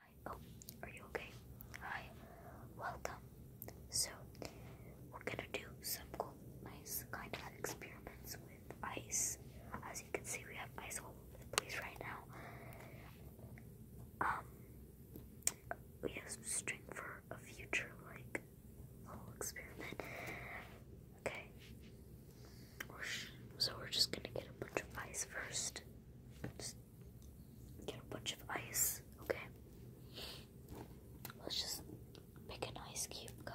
Hi. Oh, are you okay? Hi. Welcome. So, we're gonna do some cool, nice kind of experiments with ice. As you can see, we have ice all over the place right now. Um, we have some string for a future, like, little experiment. Okay. so we're just gonna get a bunch of ice first. Get a bunch of ice, okay? Let's just pick an ice cube, go.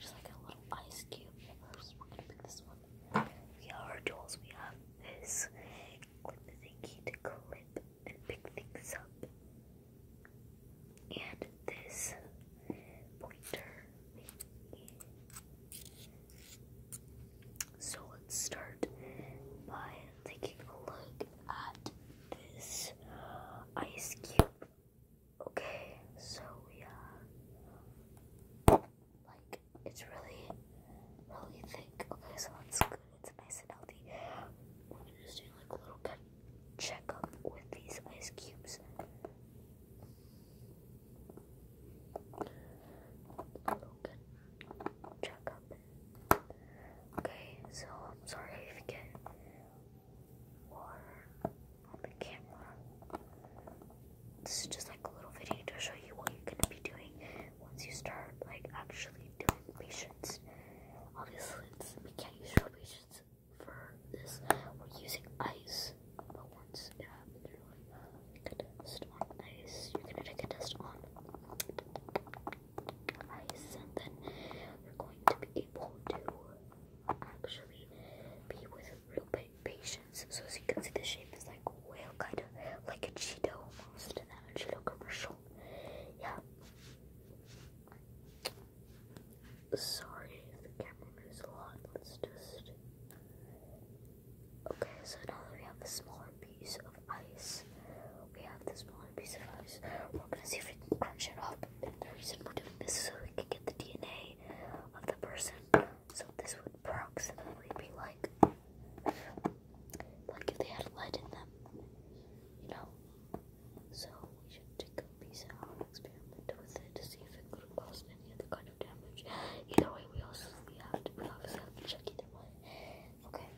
Just like a little ice cube. we have our tools, we have this clip thingy to clip and pick things up. And this pointer so let's start by taking a look at this ice cube. Okay, so we like it's really, really thick. Okay, so that's good. It's nice and healthy. We're just do like a little checkup with these ice cubes. Okay, so I'm sorry if you get water on the camera. This is just like a little video to show you what you're gonna be doing once you start like actually doing patients. Obviously, we can't use real patients for this. We're using ice but once you're like, take a ice. You're gonna take a test on ice, and then you're going to be able to actually be with real patience. So as you can see, the shape is like whale, kind of like a Cheeto almost, and a Cheeto commercial. Yeah. Sorry the camera moves a lot. Let's just Okay, so now that we have a smaller piece of ice, we have the smaller piece of ice. We're gonna see if we can crunch it up. And the reason we're doing this is so we can get the DNA of the person. So this would approximately be like, like if they had lead in them, you know. So we should take a piece out and experiment with it to see if it could cause any other kind of damage. Either way, we also we have to we obviously have to check either one. Okay.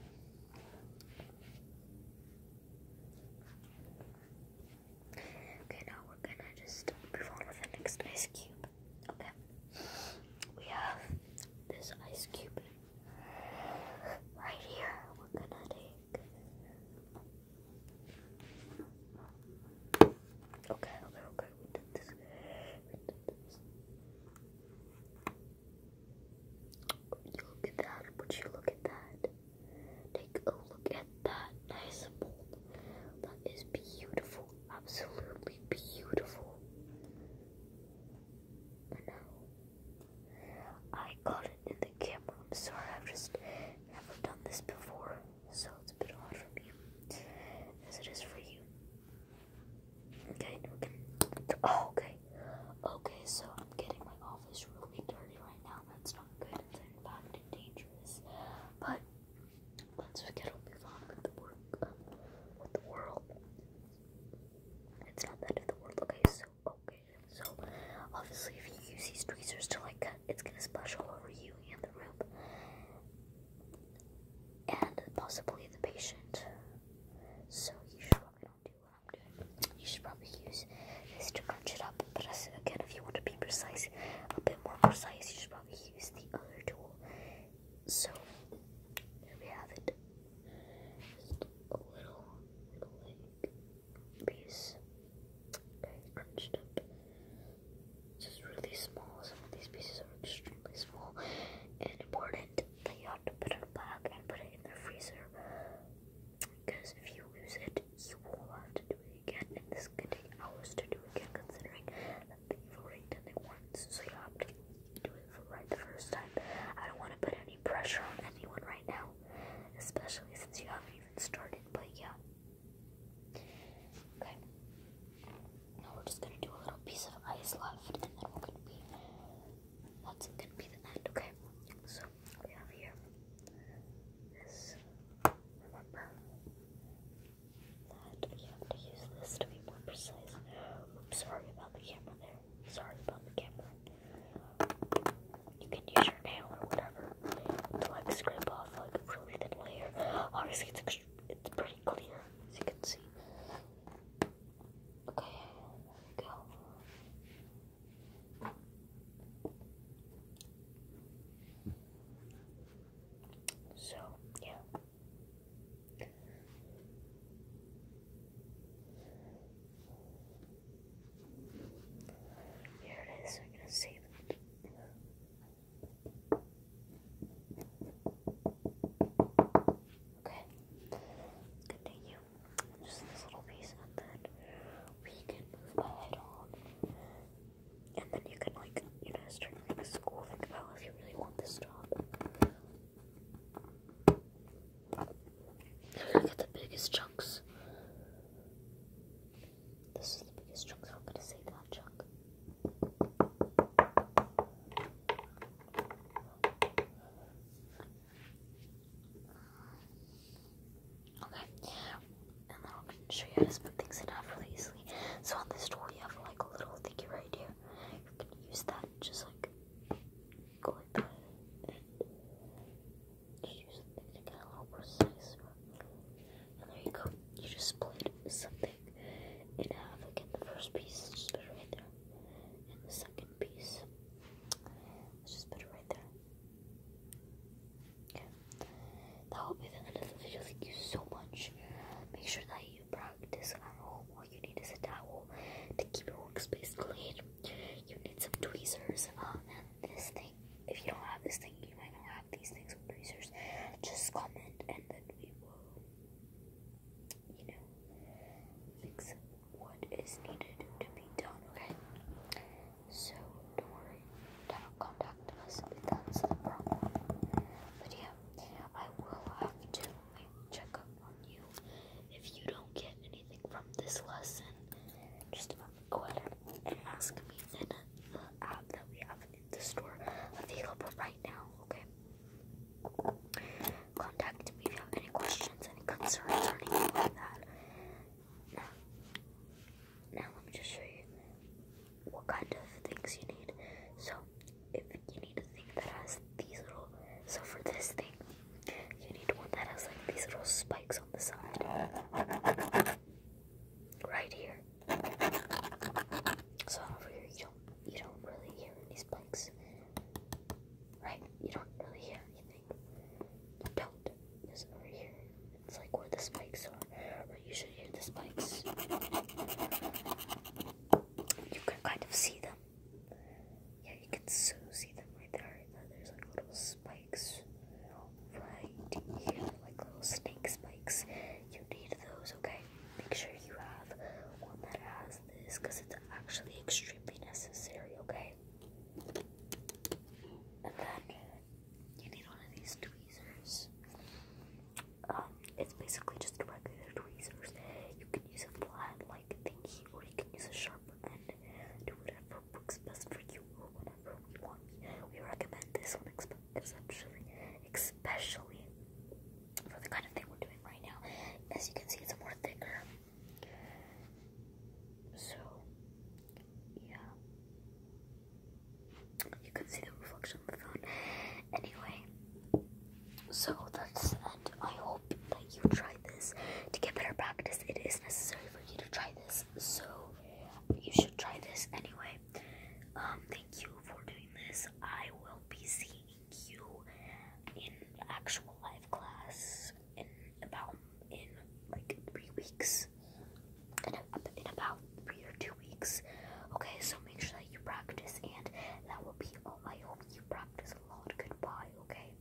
Okay, now we're gonna just move on with the next ice cube. Okay. We have this ice cube right here. We're gonna take. Okay, okay, okay, we did this. We did this. You look at that, but you look at that. Take a look at that nice mold. That is beautiful, absolutely beautiful. I know. I got it in the camera. I'm sorry, I've just never done this before, so as it is for you. Oh, okay, okay. so I'm getting my office really dirty right now. That's not good. It's in fact dangerous. But let's get on with the work um, the world. It's not the of the world. Okay, so okay, so obviously if you use these tweezers to like it's gonna splash all over you and the room, and possibly the patient. So you should probably not do what I'm doing. You should probably use this to crunch it up. But as, again, if you want to be precise, a bit more precise, you should probably use the other tool. So there we have it. Just a little, piece. Okay, crunched up just really small. Some of these pieces are extremely small and important that you have to put it back and put it in the freezer because if you lose it, you will have to do it again, and this could take hours to do again considering that you've already done it once, so you have to do it for right the first time. I don't want to put any pressure on anyone right now, especially since you haven't even started, but yeah. Okay. Now we're just gonna do a little piece of ice left, and then we gonna be. That's gonna be the end. Okay. So we have here this. Remember that you have to use this to be more precise. sorry about the camera there. Sorry about the camera. You can use your nail or whatever to like scrape off like a really thin layer. Obviously, it's it's pretty clear as you can see. Okay, go. So, yeah. Here it is. I'm going to save it. Okay, continue. Just this little piece, and then we can move ahead on. And then you can, like, you know, start like a school. Think if you really want this job. Look at the biggest chunks. This is the biggest chunk, so I'm gonna say that chunk. Okay, and then I'm gonna show you how to spin things in half easily. So on this tool, you have like a little thingy right here. You can use that, just like go like that, you just need to get a little precise. And there you go. You just split something in half. Again, the first piece put it right there. And the second piece, let's just put it right there. Okay. That will be the end of the video. Thank you so much. Make sure that you practice at home. All you need is a towel to keep your workspace clean. You need some tweezers uh, and this thing if you don't have this thing, you might not have these things with bracers. Just comment and then we will, you know, fix what is needed to be done, okay? So, don't worry, don't contact us if that's the problem. But yeah, I will have to check up on you if you don't get anything from this lesson. Just about go ahead and ask me in uh, the app that we have in the store available right now, okay? Contact me if you have any questions, any concerns, or anything like that. Now, let me just show you what kind of things you need. So, if you need a thing that has these little, so for this thing, you need one that has like these little spikes on the side. Right here. So over here you don't you don't really hear any spikes. Right? You don't really hear anything. You don't. Because over here it's like where the spikes are. But you should hear the spikes. You can kind of see them you can so see them right there. And then there's like little spikes right here, like little snake spikes. You need those, okay? Make sure you have one that has this because it's actually extremely necessary, okay? And then you need one of these tweezers. Um, it's basically just regular tweezers. You can use a flat like thingy or you can use a do whatever works best for you or whatever we want. We recommend this one especially, especially for the kind of thing we're doing right now. As you can see, it's more thicker. So, yeah. You can see the reflection of the phone. Anyway, so that's the end. I hope that you try this. To get better practice, it is necessary for you to try this. So you should try this anyway. Um, thank you for doing this. I will be seeing you in actual live class in about in like three weeks. In, a, in about three or two weeks. Okay, so make sure that you practice, and that will be all. My hope you practice a lot. Goodbye. Okay.